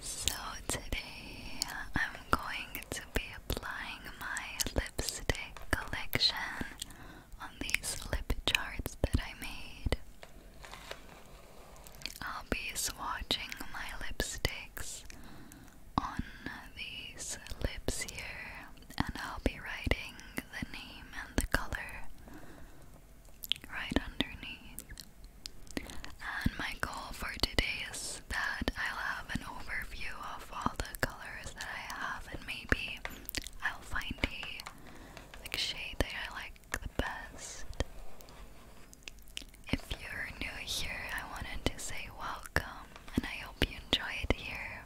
So today I'm going to be applying my lipstick collection on these lip charts that I made. I'll be swatching my lipsticks on these lips here and I'll be writing the name and the color right underneath. And my goal for today is that I'll have an overview of all the colors that I have, and maybe I'll find a shade that I like the best. If you're new here, I wanted to say welcome, and I hope you enjoy it here.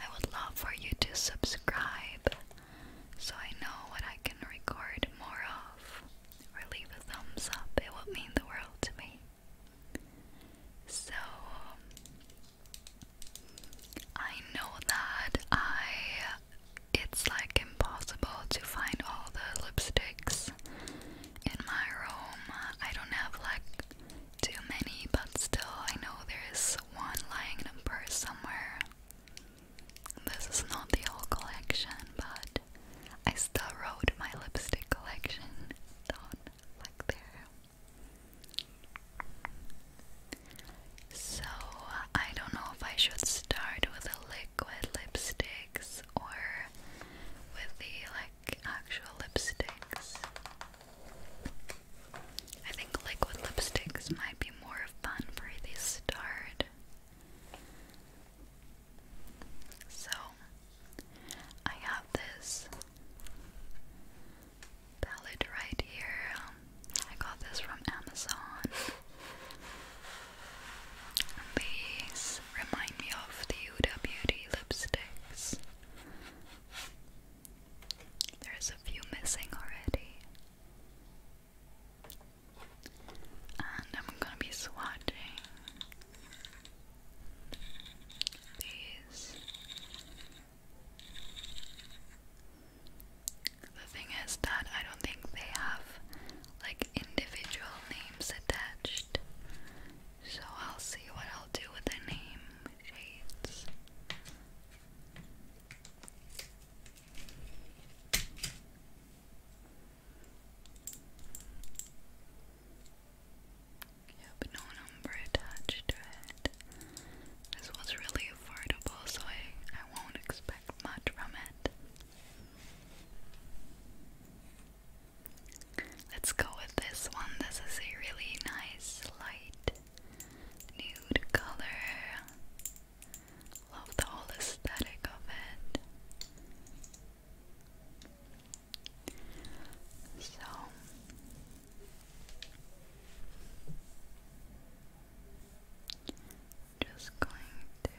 I would love for you to subscribe so I know what I can record more of, or leave a thumbs up, it would mean the world to me. So, I know that I. It's like impossible to find all the lipsticks in my room. I don't have like too many, but still, I know there's one lying in a purse somewhere. This is not the whole collection, but I still wrote my lipstick collection down like there. So, I don't know if I should start with the liquid lipsticks or with the like actual lipsticks. I think liquid lipsticks might be more fun for the start. So, I have this palette right here. Um, I got this from Amazon. These remind me of the Huda lipsticks. There's a few missing already. And I'm gonna be swatching these. The thing is that I don't think they have like individual names attached. So I'll see what I'll do with the name shades. Yep, no number attached to it. This was really affordable, so I won't expect much from it. Let's go with this one. This is a really nice light nude color. Love the whole aesthetic of it. So just going to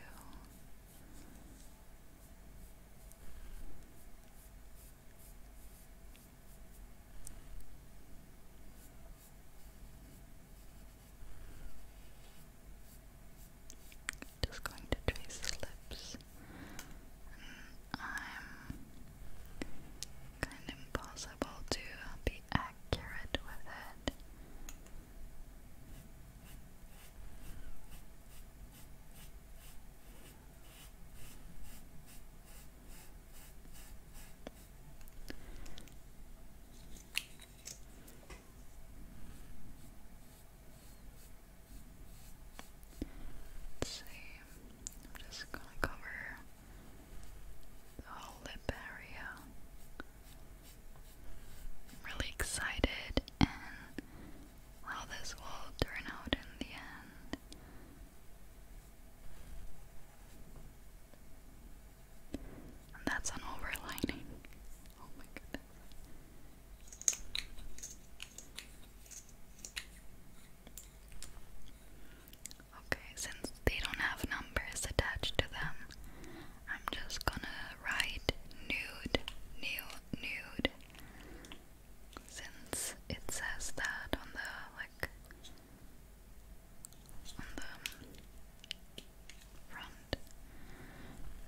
just going to trace the lips. And kind of impossible to be accurate with it. Let's see. I'm just gonna cover the lip area. I'm really excited and how this will turn out in the end that's an overlining. Oh my goodness. Okay, since they don't have numbers attached to them, I'm just gonna write nude, new, nude since it says that on the like on the front.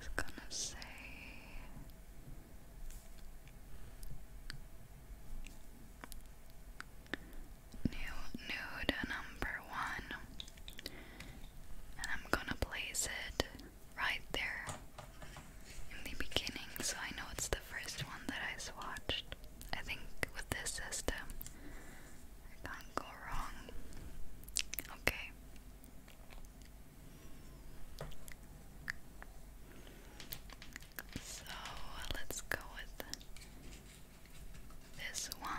It's gonna say new nude number one, and I'm gonna place it right there in the beginning so I know it's the first one that I swatched. I think with this system, I can't go wrong. Okay. So let's go with this one.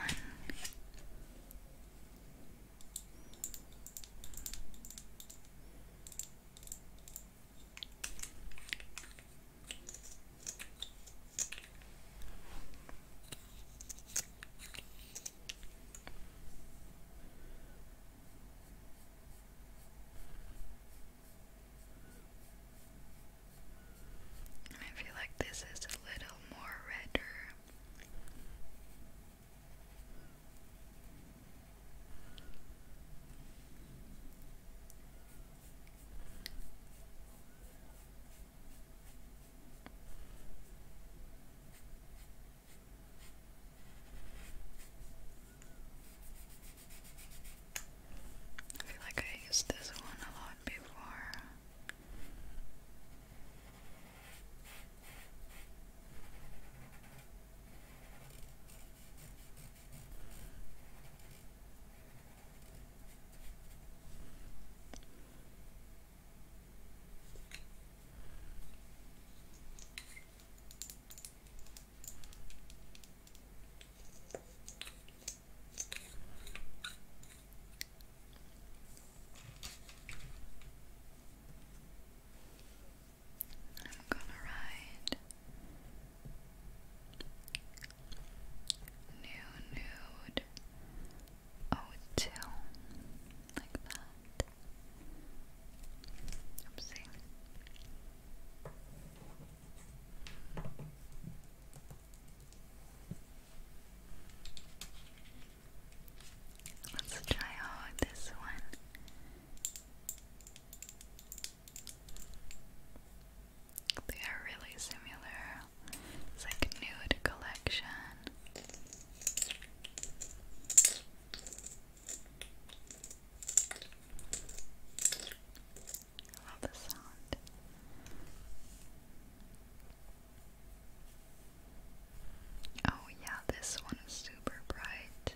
I feel like this is a little more redder. I feel like I used this one a lot before. I'm gonna write New nude. Oh, two. Like that. Oopsie. Let's try out this one. They are really similar. It's like a nude collection. I love the sound. Oh, yeah, this one is super bright.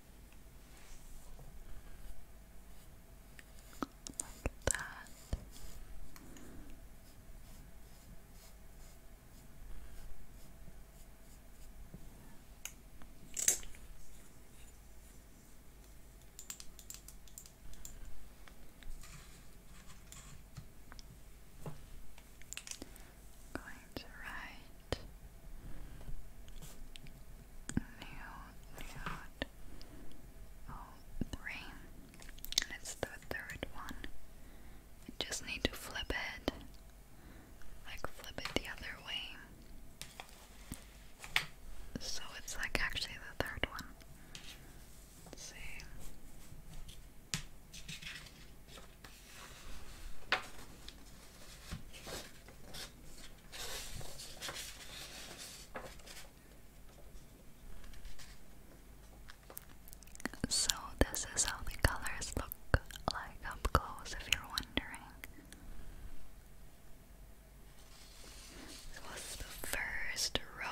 Like that. going to write new nude oh three and it's the third one. I just need to flip it. Like flip it the other way. So it's like actually the third one. Let's see. So, this is how the colors look like up close if you're wondering. This was the first row.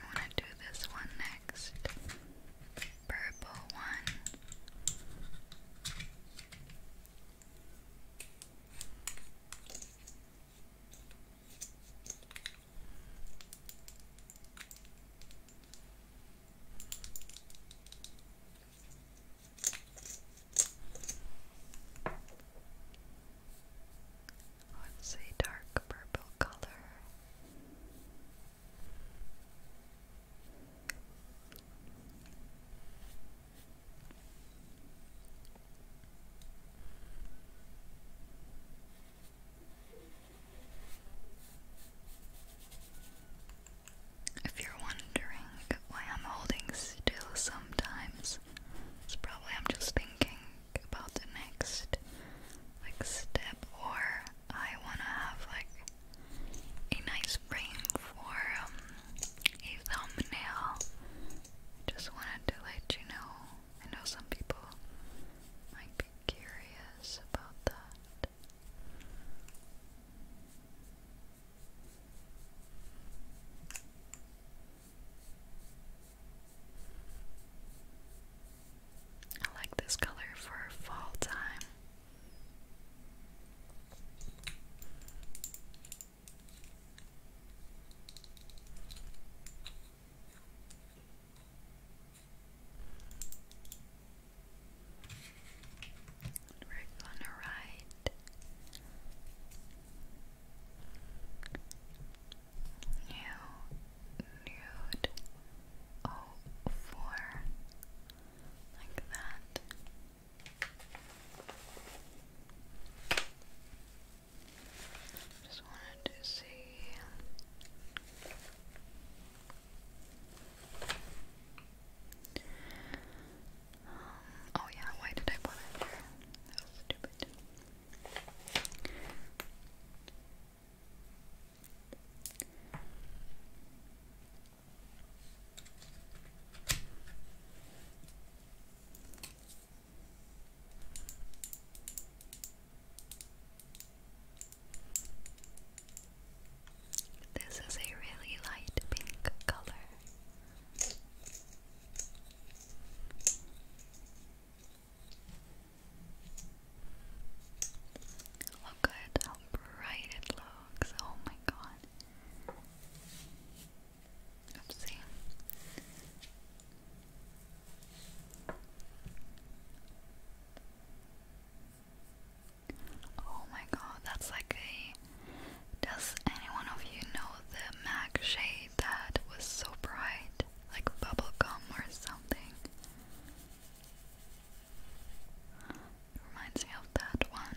I want to do this one next. Purple one. What's a dark purple color? If you're wondering why I'm holding still sometimes, it's probably I'm just thinking about the next like step or I wanna have like a nice frame for um, a thumbnail. Just wanted to let you know. I know some people might be curious about that. I like this color for fall time. We're gonna write new nude oh four like that. Just wanted to see oh yeah, why did I put it there? That was stupid. This is a really light pink color. Look at how bright it looks. Oh my god. Oopsie. Oh my god, that's like a does anyone of you know the MAC shade that was so bright? Like bubble gum or something? reminds me of that one.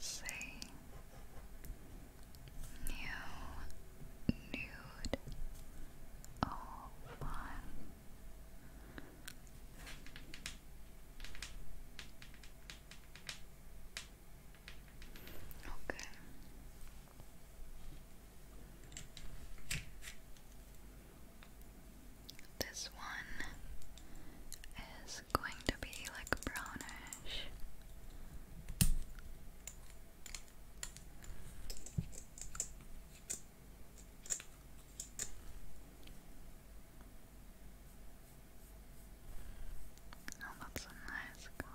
say new nude open okay this one is going to be like brownish. Oh, that's a nice color.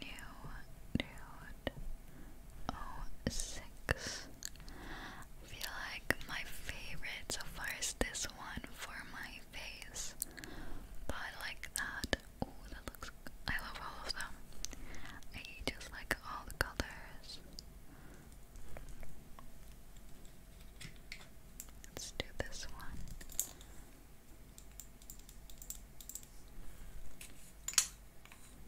new nude oh six. feel like my favorite so far is this one for my face, but I like that. Oh, that looks. I love all of them. I just like all the colors. Let's do this one.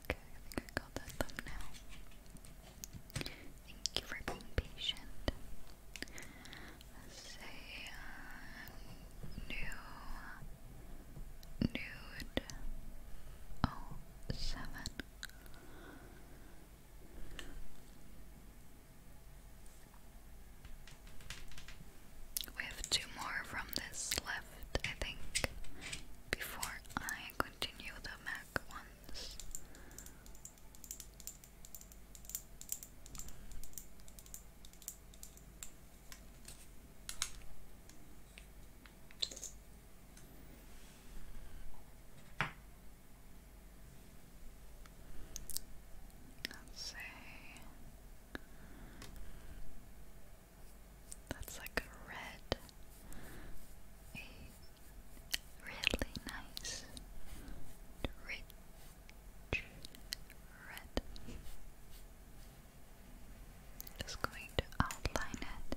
Okay, I think I got that thumbnail. Thank you for being patient. say uh, new oh seven. We have two more from this left, I think, before I continue the MAC ones. Let's see. That's like a red, a really nice, rich red. Just going to outline it.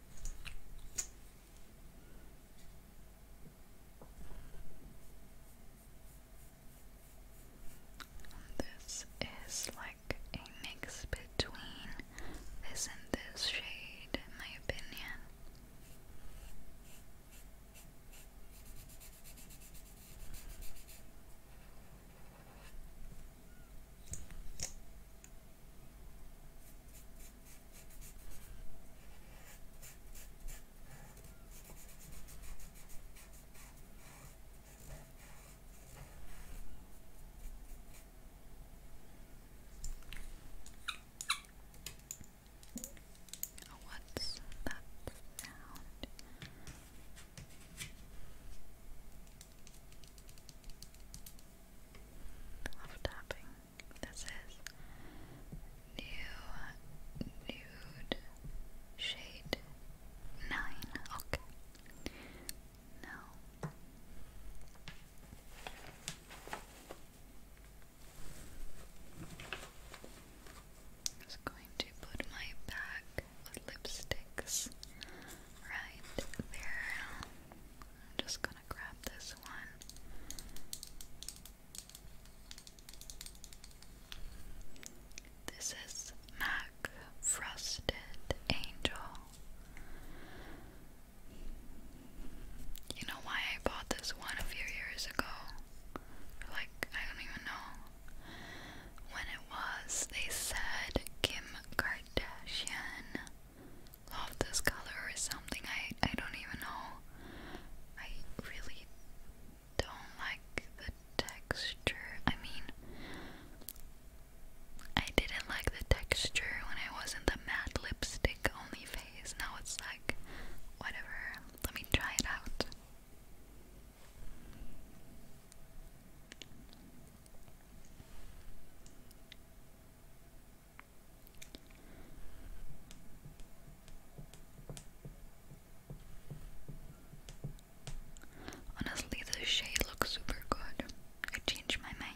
this is like a mix between this and this shade, in my opinion. Oh, what's that sound? Love tapping. This is new nude shade nine. Okay. Now I'm just going to put my back with lipsticks right there. I'm just gonna grab this one. This is Mac Frosted Angel. You know why I bought this one a few years ago? Like, I don't even know when it was. They said Kim Kardashian love this color or something. I I don't even know. I really don't like the texture. I mean, I didn't like the texture when I was in the matte lipstick only phase. Now it's like whatever. Let me try it out. Honestly, this shade looks super good. I changed my mind.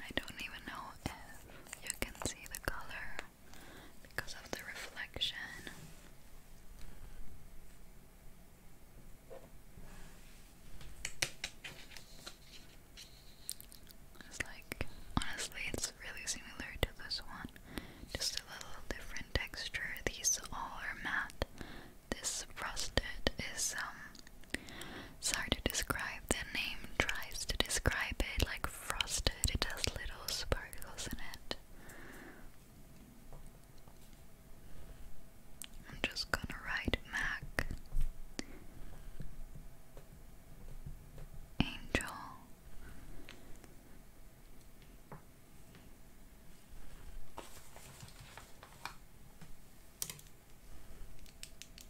I don't even know if you can see the color because of the reflection. It's like, honestly, it's really similar to this one, just a little different texture. These all are matte. This rusted is um it's hard to describe. The name tries to describe it like frosted. It has little sparkles in it. I'm just gonna write Mac Angel.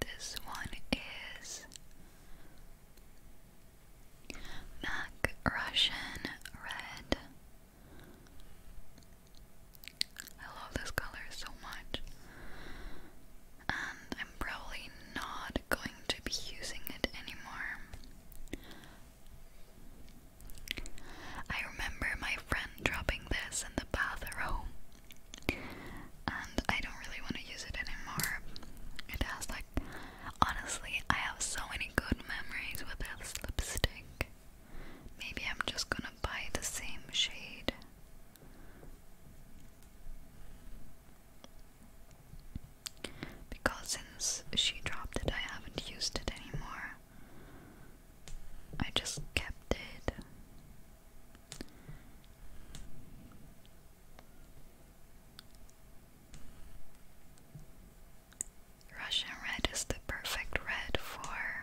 This one is Mac Russian Red. I love this color so much. And I'm probably not going to be using it anymore. I remember my friend dropping this in the bathroom and I don't really want to use it anymore. It has like, honestly, I have so many good memories with this lipstick. Maybe I'm just gonna buy the same shade. Because since she dropped it, I haven't used it anymore. I just kept it. Russian red is the perfect red for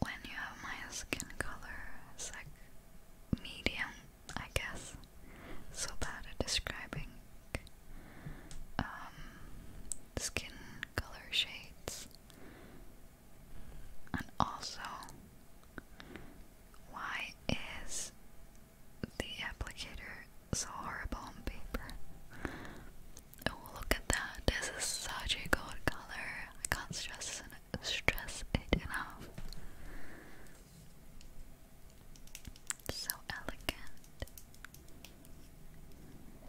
when you have my skin color. like medium, I guess. So bad at describing um, skin color shades. And also, why is the applicator so horrible on paper? Oh, look at that. This is such a good color. I can't stress stress it enough. So elegant.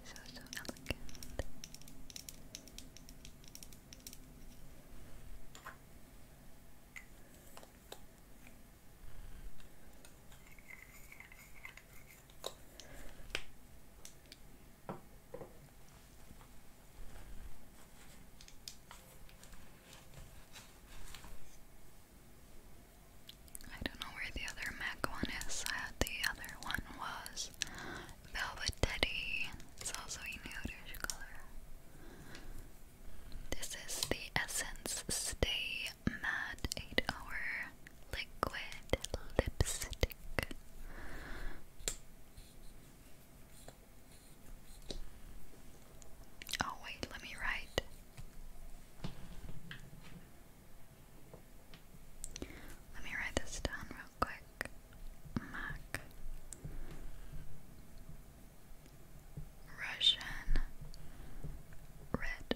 So, so elegant. I don't know where the other Mac one is. I had the other one was Velvet Teddy. It's also a nudish color. This is the Essence Stay Matte 8 Hour Liquid Lipstick. Oh, wait, let me write. Let me write this down real quick. MAC Russian red.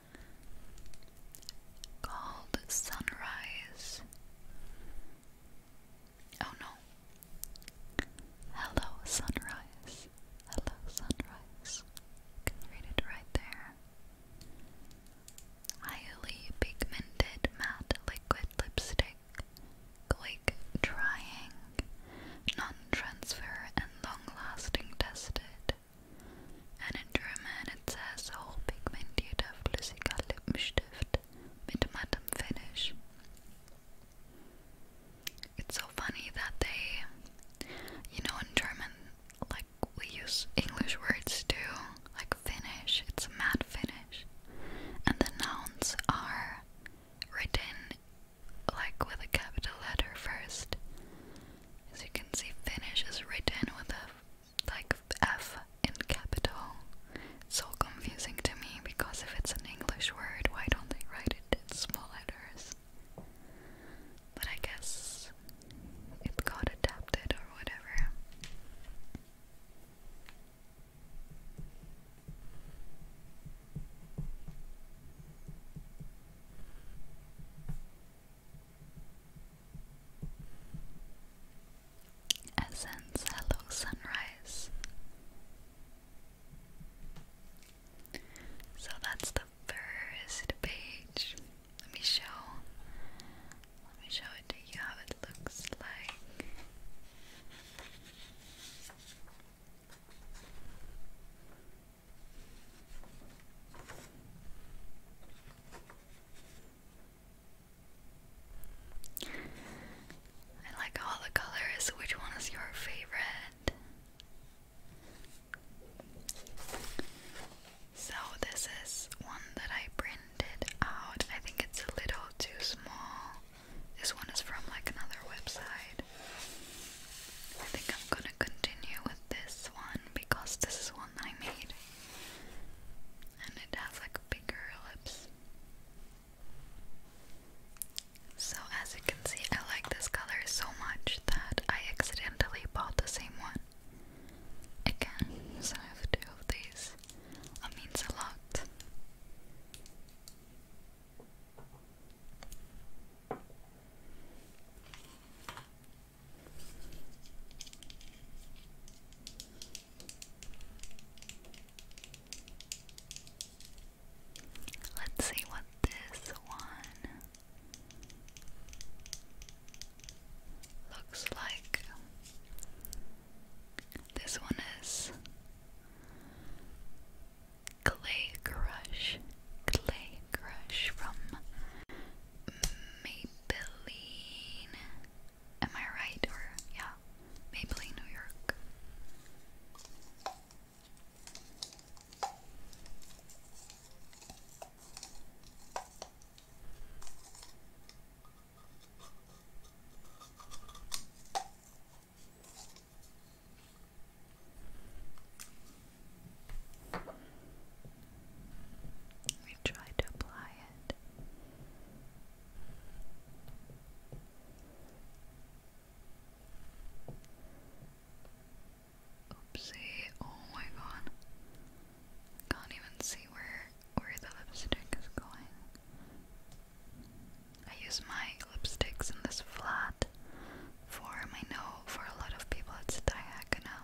called Sunrise. Oh no. Hello, Sunrise. Hello, Sunrise. can read it right there. Highly pigmented matte liquid lipstick. Quick drying, non transfer, and long lasting tested. And in German it says hochpigmentierter flüssiger Lippenstift mit mattem finish. It's so funny that they, you know, in German, like we use English words too, like finish, it's a matte finish. And the nouns are written like with a capital letter first. As you can see, finish is written with a like F in capital. So confusing to me because if it's an English word, why don't they write it in small letters? But I guess it got adapted or whatever. Essence, hello sunrise. So that's the first page. Let me show. Let me show it to you how it looks like. I like all the colors. Which one is your favorite? So, this is one that I printed out. I think it's a little too small. This one is from like another website. I think I'm gonna continue with this one because this is one I made and it has like bigger lips. So as you can see, I like this color so much that I accidentally bought the same one. Again, so I have two of these. That means a lot. Let's see what this one looks like. This one is Clay Crush. Clay Crush from Maybelline. Am I right? Or, yeah, Maybelline, New York. We tried to apply Oopsie, oh my god. Can't even see where where the lipstick is going. I use my lipsticks in this flat form. I know for a lot of people it's diagonal.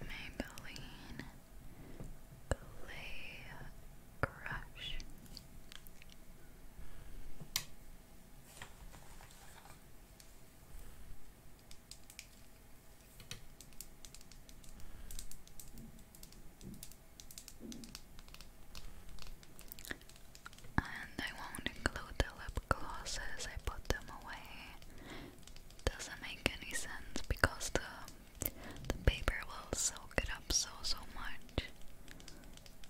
Maybelline Clay Crush. And I won't include the lip glosses, I put them away. Doesn't make any sense because the the paper will soak it up so so much.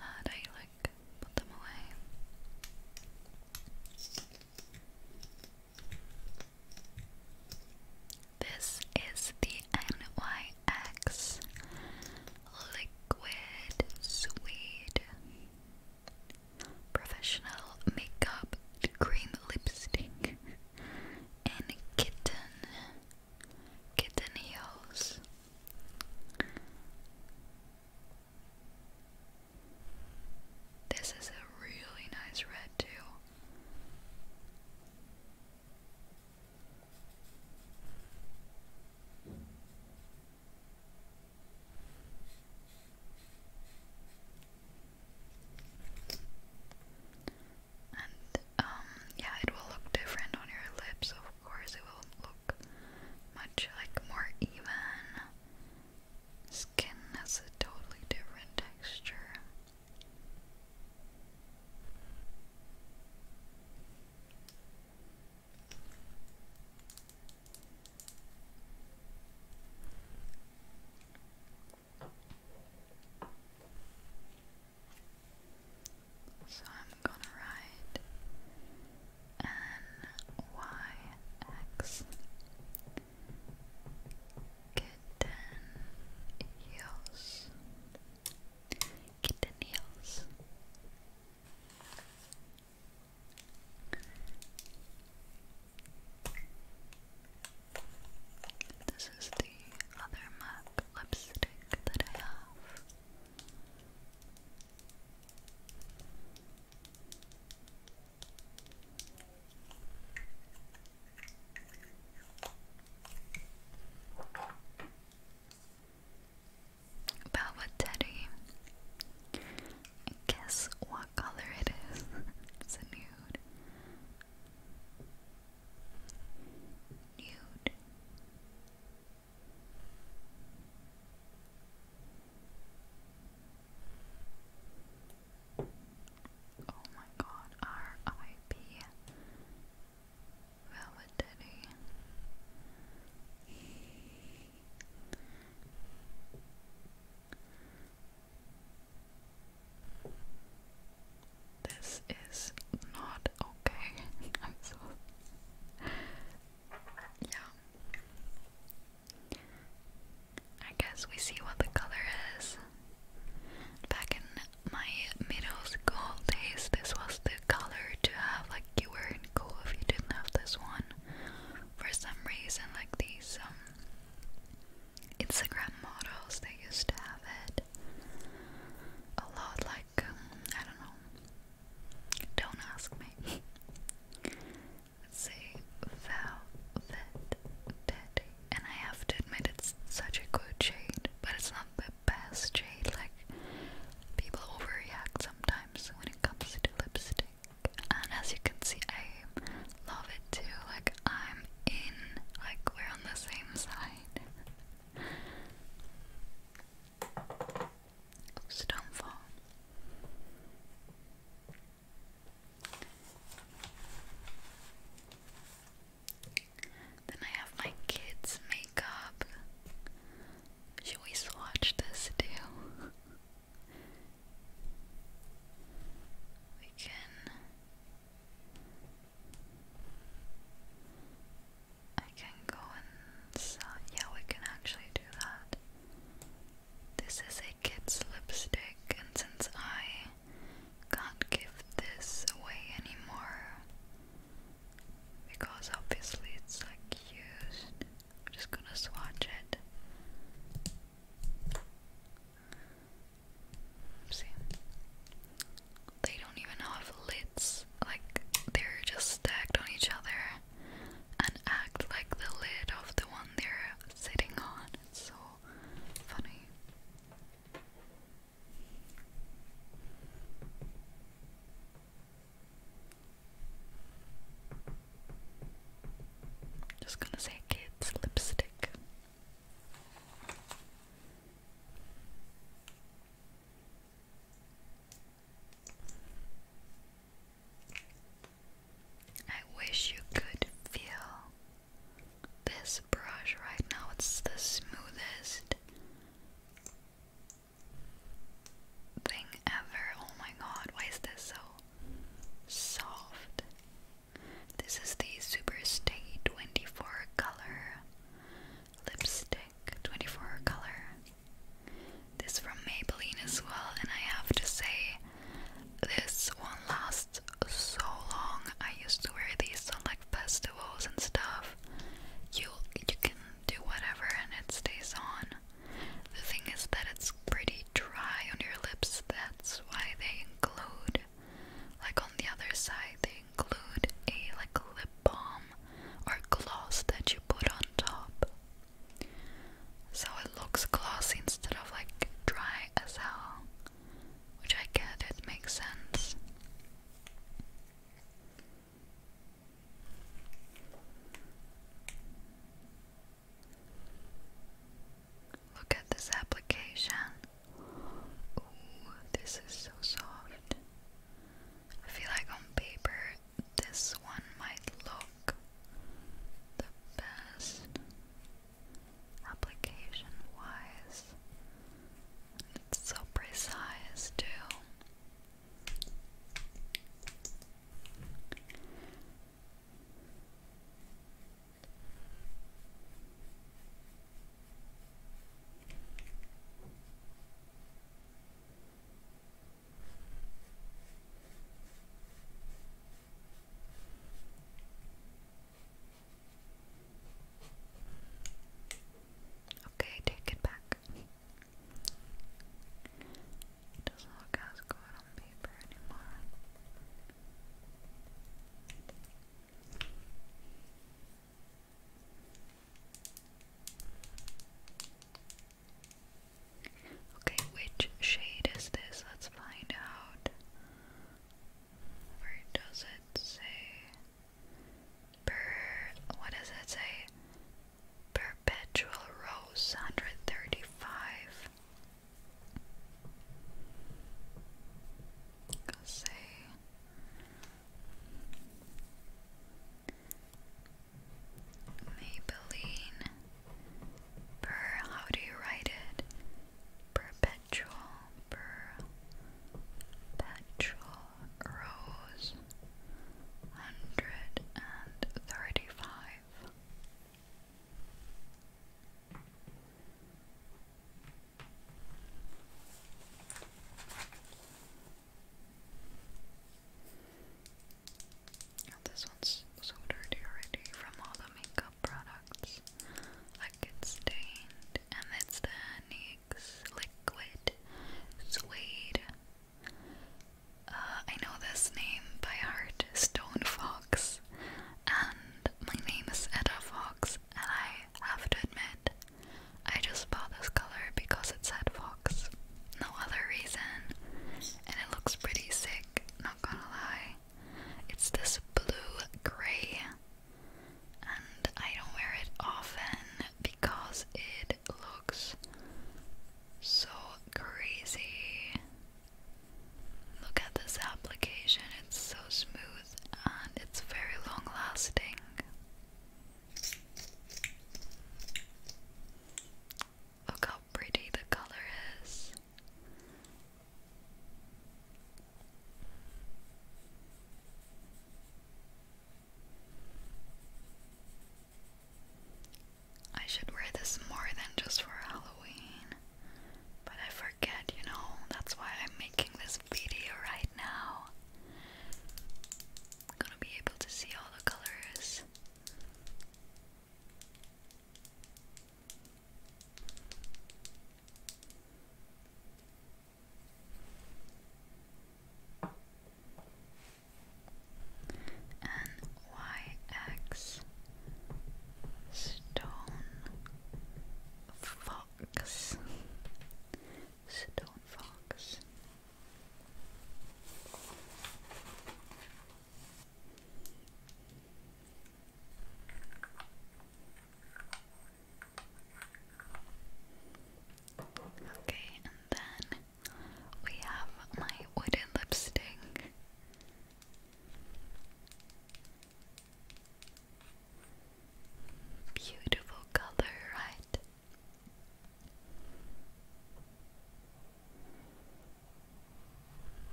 I like put them away. This is the NYX Liquid Suede Professional Makeup Cream Lipstick in Kitten Kitten Heels. This is a really nice red, too. And um, yeah, it will look different on your lips, of course. It will look much like more even. Skin has a totally different texture. So I'm gonna write N Y X kitten heels. Get the nails. This is the other MAC lipstick that I have. Velvet Teddy. Guess what color it is? it's a nude. Nude. Oh my god, R I P Validity. This is not okay. I'm so Yeah. I guess we see what the color is. Back in my middle school days, this was the color to have. Like you were in cool if you didn't have this one. For some reason, like these um, Instagram models, they used to have it a lot. Like um, I don't know. Don't ask me. let Velvet and I have to admit it's such a good shade, but it's not the best shade. Like people overreact sometimes when it comes to lipstick. And as you can see, I love it too. Like I'm in, like we're on the same side. Oops, then I have my kids' makeup. Should we swatch this too? we can. I can go and Yeah, we can actually do that. This is a kid's lipstick, and since I can't give this away anymore, because obviously it's like used. I'm just gonna swatch it. See, they don't even have lids, like they're just stacked on each other and act like the lid of the one they're sitting on. It's so funny. Just gonna say kids lipstick. I wish you could feel this brush right now. It's the smoothest thing ever. Oh my god, why is this so soft? This is the Superstay 24 color lipstick, 24 color. This from Maybelline as well, and I have to say, this one lasts so long. I used to wear these on like festivals and stuff, you you can do whatever and it stays on. The thing is that it's pretty dry on your lips. That's why they include, like on the other side, they include a like lip balm or gloss that you put on top. So it looks glossy instead of like dry as hell. Which I get, it makes sense. Look at this application. Ooh, this is so soft. I feel like on paper this one might look the best application wise. It's so precise, too. Okay, take it back. doesn't look as good on paper anymore. Okay, which shade is this? Let's find out. Where does it say? per what does it say? Perpetual Rose 135. Let's say Maybelline per how do you write it? Perpetual per perpetual rows hundred and thirty five. this one's so dirty already from all the makeup products. Like it's stained, and it's the Liquid, Suede. Uh, I know this name by heart, Stone Fox. And my name is Etta Fox, and I have to admit, I just bought this color because it said Fox. No other reason. And it looks pretty sick, not gonna lie. It's this blue gray and I don't wear it often because it looks so crazy. Look at this application, it's so smooth and it's very long lasting. Look how pretty the color is. I should wear this more than just for Halloween, but I forget, you know, that's why I'm making this video right now. gonna be able to see all the colors. N Y X Stone Fox Stone Fox Okay, and then we have my wooden lipstick. Beautiful color, right?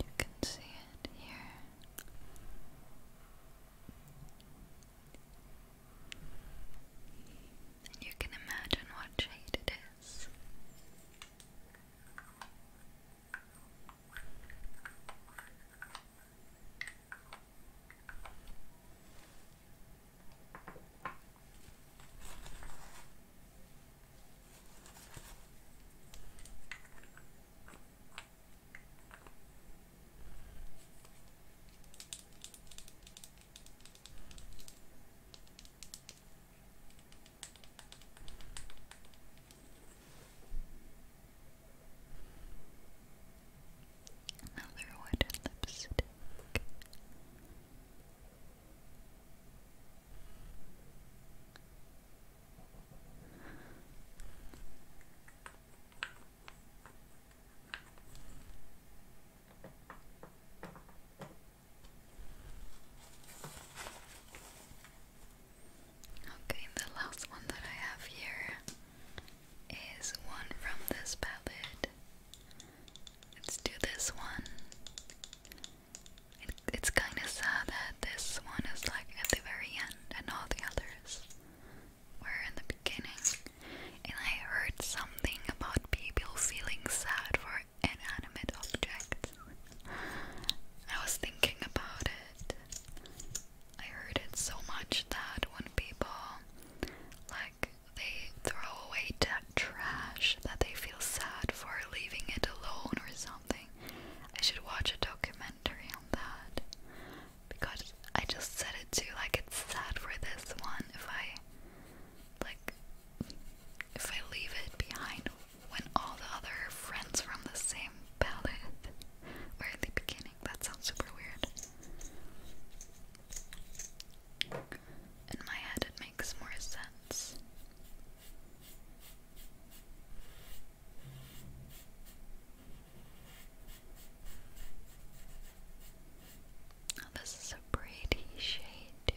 You can see it here. And you can imagine what shade it is. Another wooden lipstick. Okay, the last one that I have here is one from this palette. Let's do this one. it's kind of sad that this one is like at the very end and all the others were in the beginning. And I heard something about people feeling sad for inanimate objects. I was thinking about it. I heard it so much that when people, like, they throw away that trash, that they feel sad for leaving it alone or something. I should watch a documentary on that because I just said it too. Like it's sad for this one if I like if I leave it behind when all the other friends from the same palette were at the beginning. That sounds super weird. In my head, it makes more sense. Oh, this is a pretty shade too.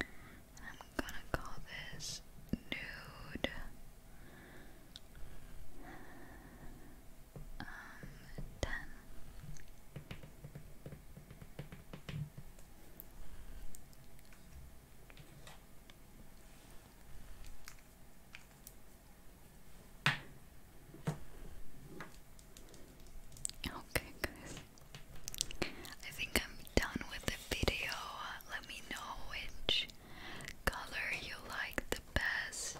I'm gonna call this nude um, Okay, guys. I think I'm done with the video. Let me know which color you like the best.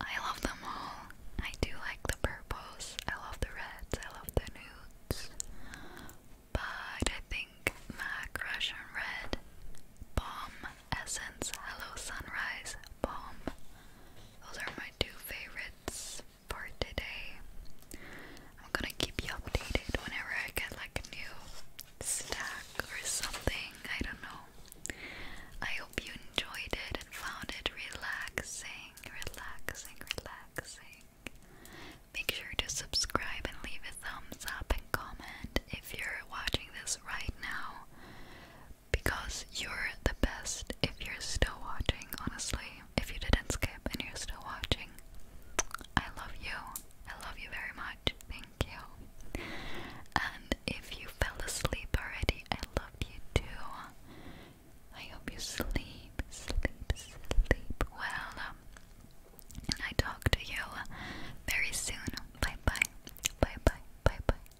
I love them all. I do like the purples. I love the reds. I love the nudes. But I think MAC Russian Red, Bomb Essence, Hello Sunrise, Bomb. Those are my two favorites for today. I'm gonna keep you updated whenever I get like a new stack or something. I don't know. I hope you enjoyed it and found it relaxing, relaxing, relaxing. Make sure to subscribe and leave a thumbs up and comment if you're watching this right now because you're the best if you're still watching, honestly if you didn't skip and you're still watching. I love you. I love you very much. Thank you. And if you fell asleep already, I loved you too. I hope you sleep, sleep, sleep well. And I talk to you very soon. Bye bye. Bye bye. Bye bye.